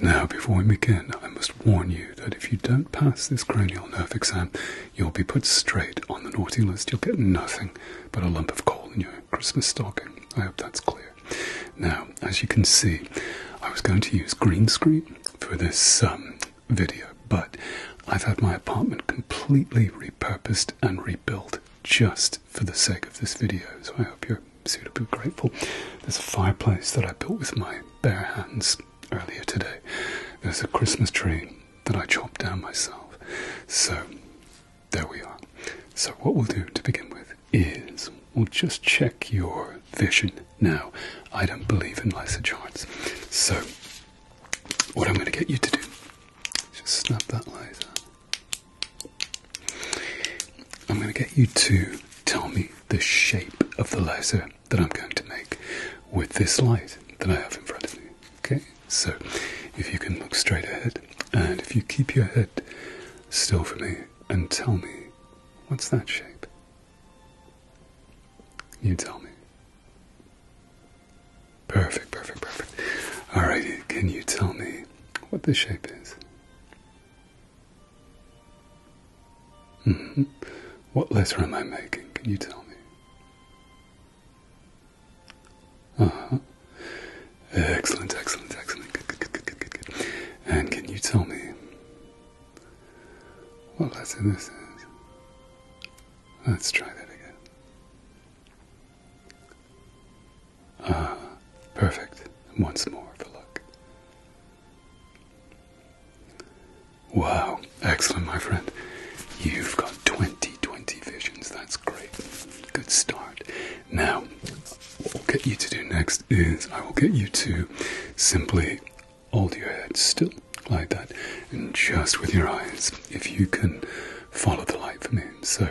Now, before we begin, I must warn you that if you don't pass this cranial nerve exam, you'll be put straight on the naughty list. You'll get nothing but a lump of coal in your Christmas stocking. I hope that's clear. Now, as you can see, I was going to use green screen for this um, video, but I've had my apartment completely repurposed and rebuilt just for the sake of this video, so I hope you're so be grateful. There's a fireplace that I built with my bare hands earlier today. There's a Christmas tree that I chopped down myself. So there we are. So, what we'll do to begin with is we'll just check your vision now. I don't believe in laser charts. So, what I'm going to get you to do is just snap that laser I'm going to get you to tell me the shape of the laser that I'm going to make with this light that I have in front of me. Okay, so if you can look straight ahead and if you keep your head still for me and tell me what's that shape? You tell me. Perfect, perfect, perfect. Alrighty, can you tell me what the shape is? Mm-hmm. What letter am I making? Can you tell me? Uh-huh. Excellent, excellent, excellent. And can you tell me what letter this is? Let's try that again. Ah, perfect. Once more for luck. Wow, excellent, my friend. You've got 20 20 visions. That's great. Good start. Now, what we'll get you to do next is I will get you to simply hold your head still like that and just with your eyes, if you can follow the light for me. So,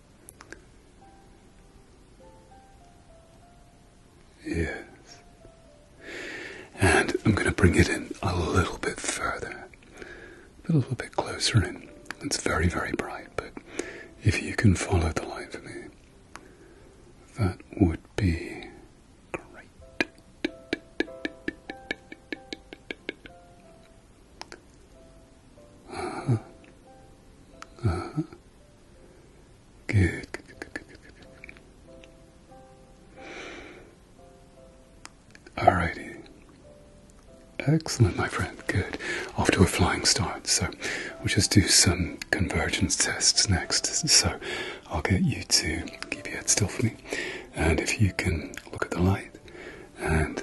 Yes. And I'm going to bring it in a little bit further, a little bit closer in. It's very, very bright, but if you can follow the light for me, that would be great. Good. Good, good, Excellent, my friend. Good. Off to a flying start. So we'll just do some convergence tests next. So I'll get you to keep your head still for me. And if you can look at the light and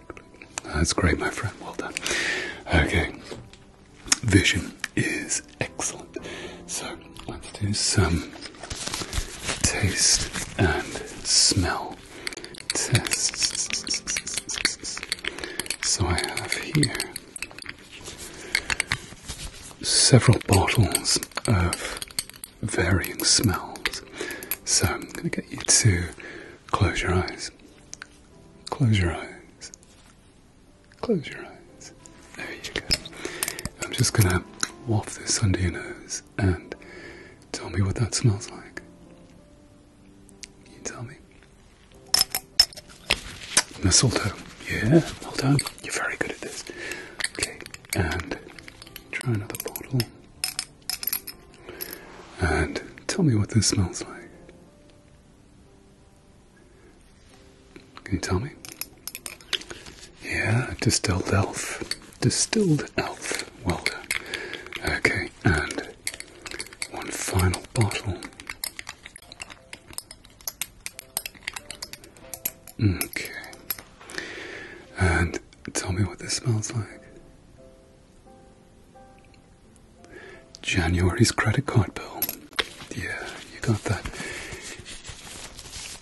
That's great, my friend. Well done. Okay. Vision is excellent. So let's do some taste and smell So I have here several bottles of varying smells. So I'm going to get you to close your eyes. Close your eyes. Close your eyes. There you go. I'm just going to waft this under your nose and tell me what that smells like. Can you tell me? Mistletoe. Yeah, well done. You're very good at this. Okay, and try another bottle. And tell me what this smells like. Can you tell me? Yeah, distilled elf. Distilled elf. Well done. Okay, and one final bottle. Okay. And Tell me what this smells like. January's credit card bill. Yeah, you got that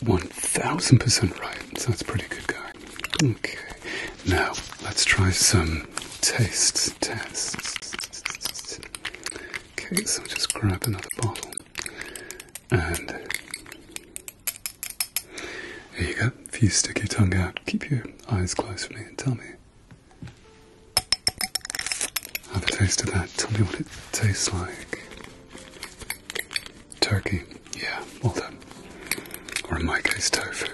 1000% right, so that's pretty good, guy. Okay, now let's try some taste test. Okay, so just grab another bottle and there you go. If you stick your tongue out, keep your eyes closed for me and tell me. Have a taste of that. Tell me what it tastes like. Turkey. Yeah, well done. Or in my case, tofu.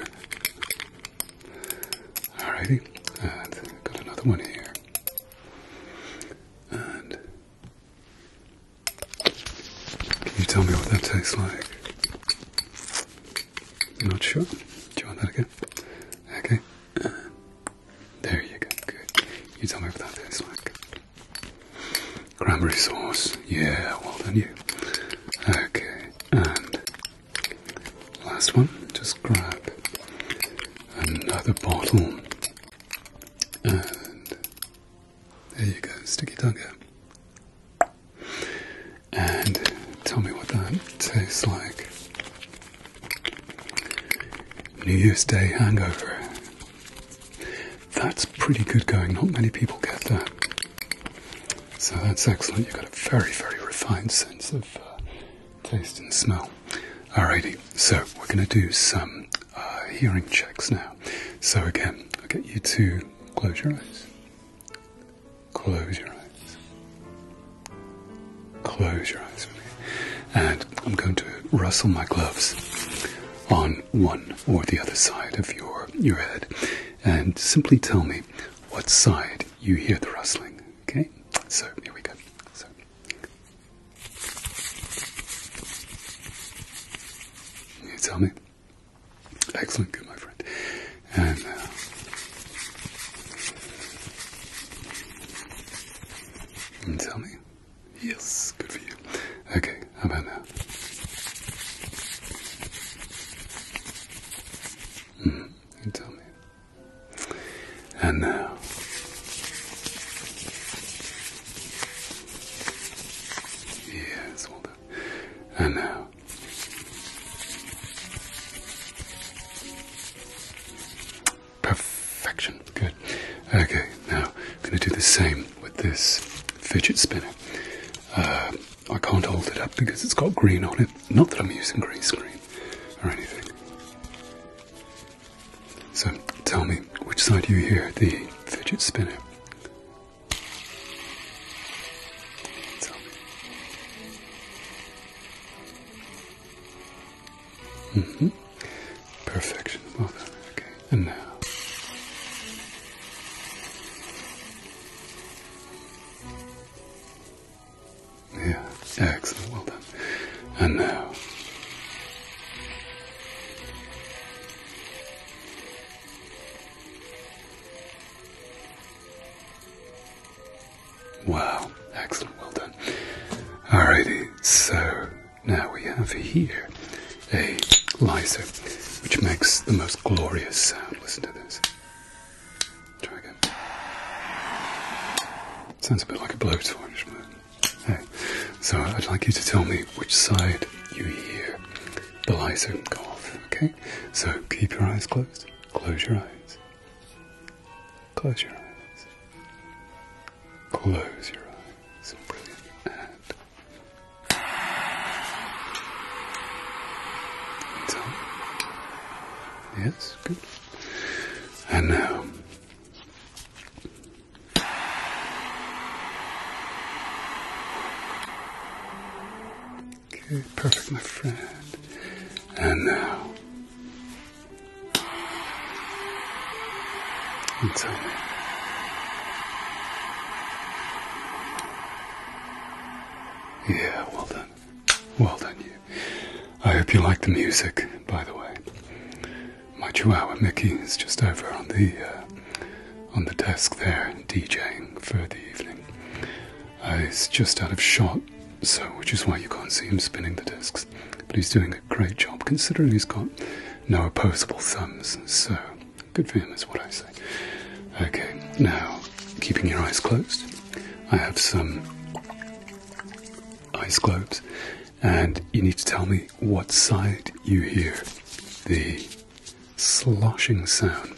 Alrighty, and got another one here. And can you tell me what that tastes like? You're not sure? Do you want that again? Okay. there you go. Good. You tell me what that tastes like. Cranberry sauce. Yeah, well done you. Okay. And last one. Just grab another bottle. And there you go, sticky dugger. And tell me what that tastes like. New Year's Day hangover. That's pretty good going, not many people get that. So that's excellent, you've got a very, very refined sense of uh, taste and smell. Alrighty, so we're going to do some uh, hearing checks now. So again, I'll get you to close your eyes. Close your eyes. Close your eyes for me. And I'm going to rustle my gloves on one or the other side of your, your head and simply tell me what side you hear the rustling. Okay? So here we go. So you tell me. Excellent, good, my friend. And uh, tell me. Yes, good for you. Okay, how about now? Mm-hmm, you tell me. And now. Yes, well done. And now. Perfection. Good. Okay, now I'm going to do the same with this fidget spinner. Uh, I can't hold it up because it's got green on it. Not that I'm using green screen or anything. So tell me, which side do you hear the fidget spinner? Tell me. hmm. Perfection. Well done. Okay. And now. Yeah, excellent. Well done. Wow, excellent, well done. Alrighty, so now we have here a lyser, which makes the most glorious sound. Listen to this. Sounds a bit like a blowtorch, but. Okay. So I'd like you to tell me which side you hear the go off. okay? So keep your eyes closed. Close your eyes. Close your eyes. Close your eyes. Brilliant. Uh, yes, good. And now Okay, perfect, my friend. And now, and tell Yeah, well done. Well done, you. I hope you like the music, by the way. My chihuahua Mickey is just over on the uh, on the desk there, DJing for the evening. he's uh, just out of shot, so which is why you can't see him spinning the discs. But he's doing a great job considering he's got no opposable thumbs, so good for him is what I say. Okay, now keeping your eyes closed, I have some ice globes, and you need to tell me what side you hear the sloshing sound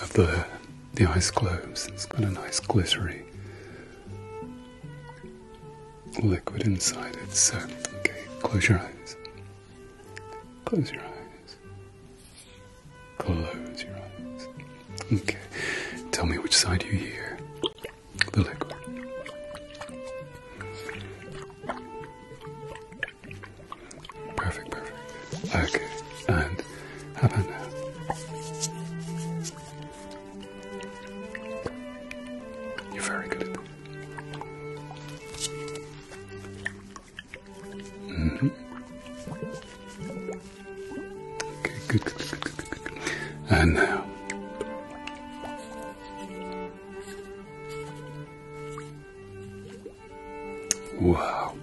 of the the ice globes. It's got a nice glittery liquid inside it. So, okay, close your eyes. Close your eyes. Close your eyes. Okay, tell me which side you hear the liquor. Perfect, perfect. Okay, and how about now? You're very good at this. -hmm. And Wow.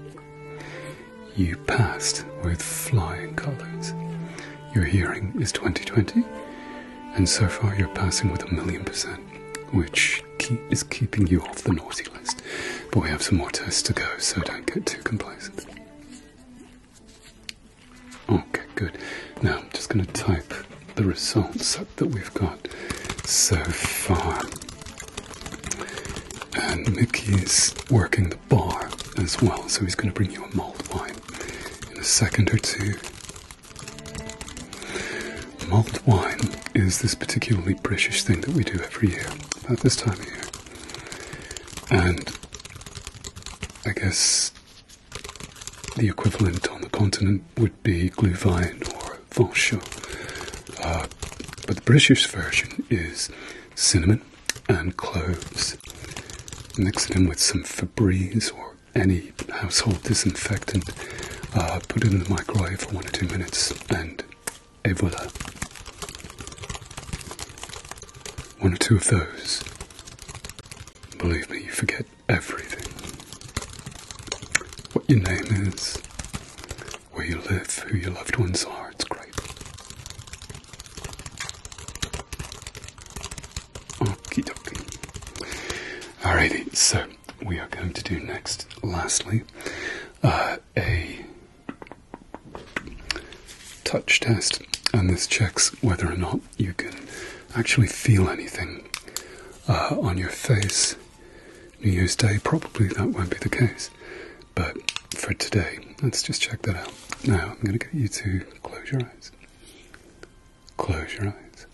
You passed with flying colours. Your hearing is 2020, and so far you're passing with a million percent, which is keeping you off the naughty list. But we have some more tests to go, so don't get too complacent. Okay, good. Now I'm just going to type the results that we've got so far. And Mickey is working the bar as well, so he's going to bring you a mulled wine in a second or two. Mulled wine is this particularly British thing that we do every year, about this time of year and I guess the equivalent on the continent would be Glühwein or Vonshaut. Uh, but the British version is cinnamon and cloves. Mix it in with some Febreze or any household disinfectant. Uh, put it in the microwave for one or two minutes, and Et voila. One or two of those. Believe me, you forget everything. What your name is, where you live, who your loved ones are. It's great. Okie dokie. Alrighty, so we are going to do next, lastly, uh, a touch test, and this checks whether or not you can actually feel anything uh, on your face. New Year's Day, probably that won't be the case, but for today, let's just check that out. Now, I'm going to get you to close your eyes. Close your eyes.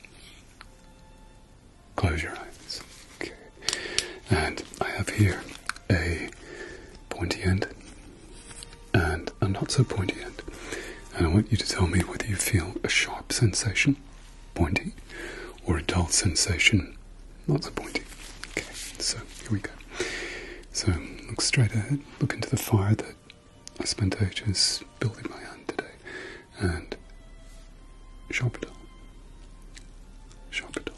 Close your eyes. Okay. And I have here a pointy end and a not so pointy end. And I want you to tell me whether you feel a sharp sensation, pointy, or a dull sensation, not so pointy. Okay, so here we go. So look straight ahead, look into the fire that I spent ages building my hand today, and sharp it all. Sharp it all.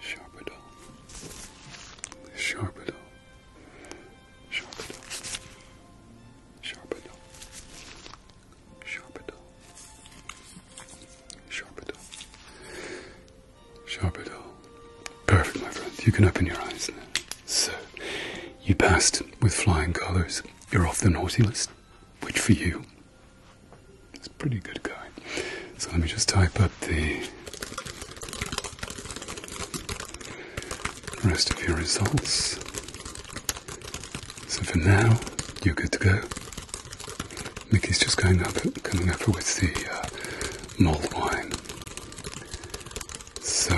Sharpedo. Sharpedo. Sharpedo. Sharpedo. Sharpedo. Sharpedo. Sharpedo. Perfect, my friend. You can open your eyes now. So, you passed with flying colors. You're off the naughty list, which for you it's pretty good guy. So let me just type up the rest of your results. So for now, you're good to go. Mickey's just going up, coming over with the uh, malt wine. So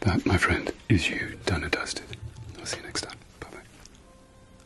that, my friend, is you done and dusted. I'll see you next time. Bye bye.